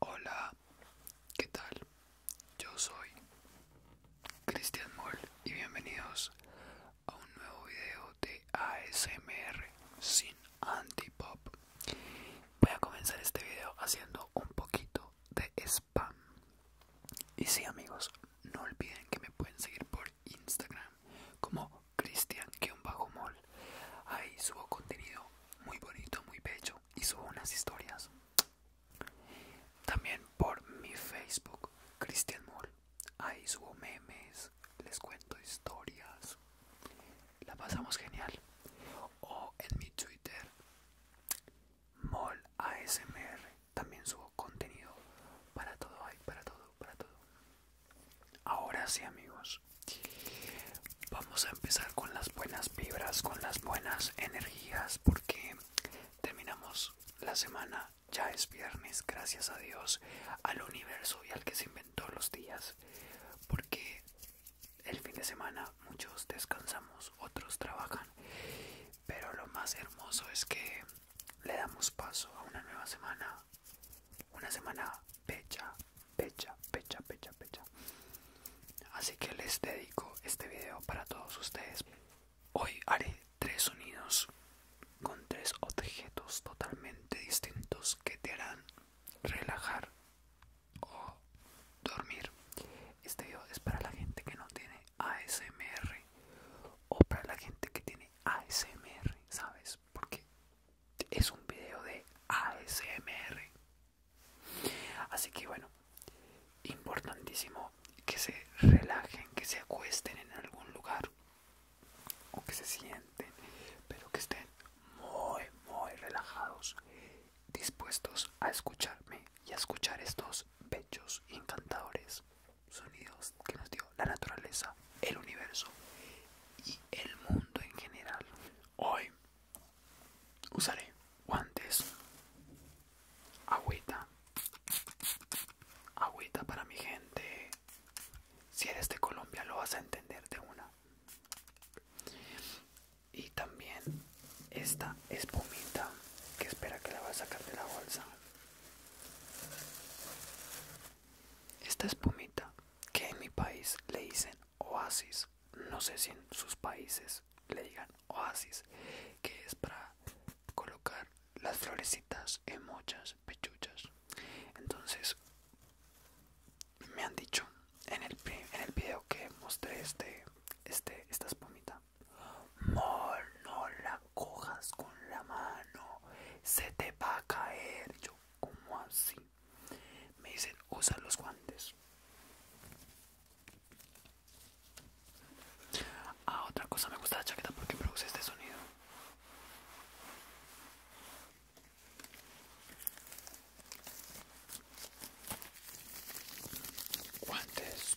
Hola, ¿qué tal? Yo soy Cristian Moll y bienvenidos a un nuevo video de ASMR sin antipop. Voy a comenzar este video haciendo un poquito de spam. Y sí amigos, no olviden que me pueden seguir por Instagram como Cristian-Moll. Ahí subo contenido muy bonito, muy bello y subo unas historias. También por mi Facebook, Christian Mol Ahí subo memes, les cuento historias. La pasamos genial. O en mi Twitter, ASMR También subo contenido para todo, para todo, para todo. Ahora sí amigos, vamos a empezar con las buenas vibras, con las buenas energías, porque terminamos la semana, ya es viernes, gracias a Dios, al universo y al que se inventó los días, porque el fin de semana muchos descansamos, otros trabajan, pero lo más hermoso es que le damos paso a una nueva semana una semana pecha, pecha, pecha, pecha, pecha. Así que les dedico este video para todos ustedes. Hoy haré tres sonidos con tres objetos totalmente distintos que te harán relajar o dormir. Este video es para la gente que no tiene ASMR o para la gente que tiene ASMR, ¿sabes? Porque es un video de ASMR. Así que bueno, importantísimo que se relajen, que se acuesten en algún lugar o que se sienten, pero que estén muy, muy relajados, dispuestos a escucharme y a escuchar estos bellos encantadores sonidos que nos dio la naturaleza, el universo y el mundo en general. Hoy usaré guantes, agüita, agüita para mi gente. Si eres de Colombia lo vas a entender de una. Y también esta espumita que espera que la vas a sacar de la bolsa. Esta espumita que en mi país le dicen oasis, no sé si en sus países le digan oasis, que es para colocar las florecitas en muchas pechuchas. Entonces, me han dicho en el, en el video que mostré este, este, esta espumita, Monola cojas con la mano, se te va a caer. Yo, ¿cómo así? Me dicen, usa los guantes. Ah, otra cosa, me gusta la chaqueta porque produce este sonido. Guantes.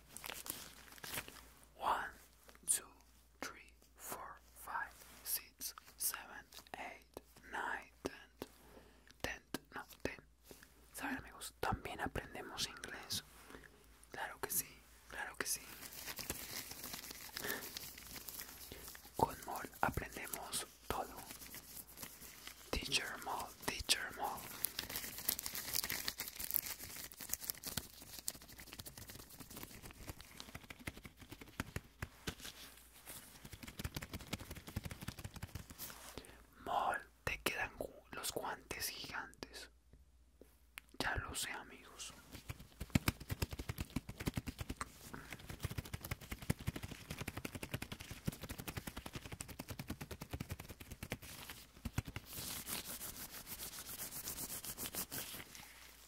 1, 2, 3, 4, 5, 6, 7, 8, 9, 10, 10, no, 10. ¿Saben amigos? También aprendemos inglés. Claro que sí, claro que sí. Con mol aprendemos todo. Teacher Mall, Teacher Mall. Mol, te quedan los guantes gigantes. Ya lo sé, amigos.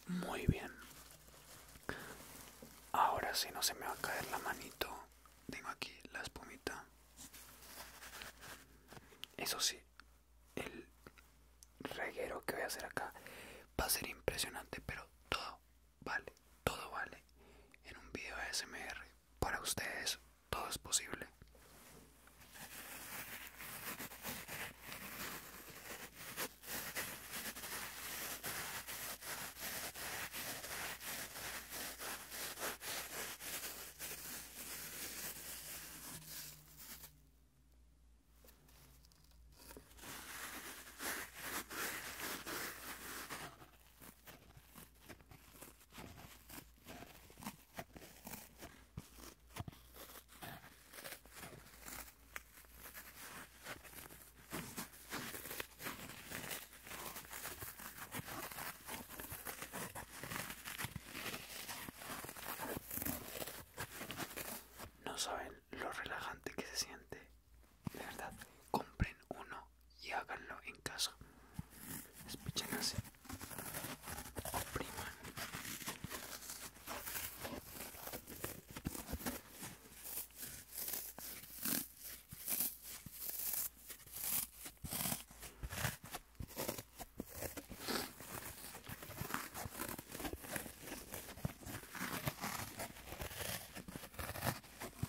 Muy bien. Ahora si no se me va a caer la manito. Tengo aquí la espumita. Eso sí, el reguero que voy a hacer acá va a ser impresionante, pero todo vale, todo vale en un video smr. Para ustedes todo es posible. No saben lo relajante que se siente de verdad, compren uno y háganlo en casa. Escuchen opriman.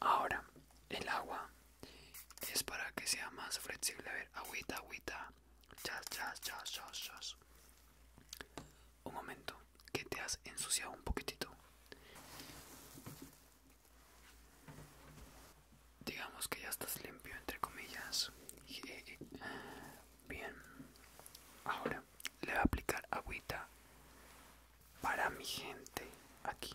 Ahora, el agua es para que sea más flexible. A ver, agüita, agüita. Un momento, que te has ensuciado un poquitito. Digamos que ya estás limpio, entre comillas. Eh, eh, bien. Ahora le voy a aplicar agüita para mi gente aquí.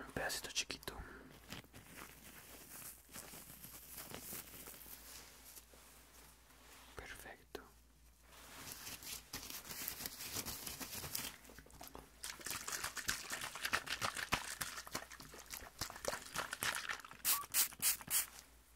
un pedacito chiquito perfecto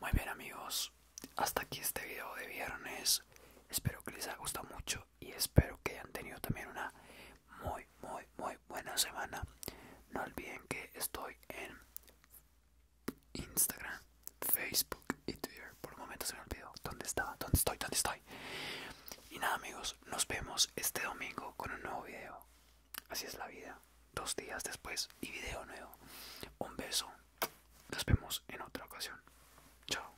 Muy bien amigos, hasta aquí este video de viernes. Espero que les haya gustado mucho y espero que hayan tenido también una muy muy, muy, buena semana. No olviden que estoy en Instagram, Facebook y Twitter. Por momentos momento se me olvidó dónde estaba, dónde estoy, dónde estoy. Y nada, amigos, nos vemos este domingo con un nuevo video. Así es la vida. Dos días después y video nuevo. Un beso. Nos vemos en otra ocasión. Chao.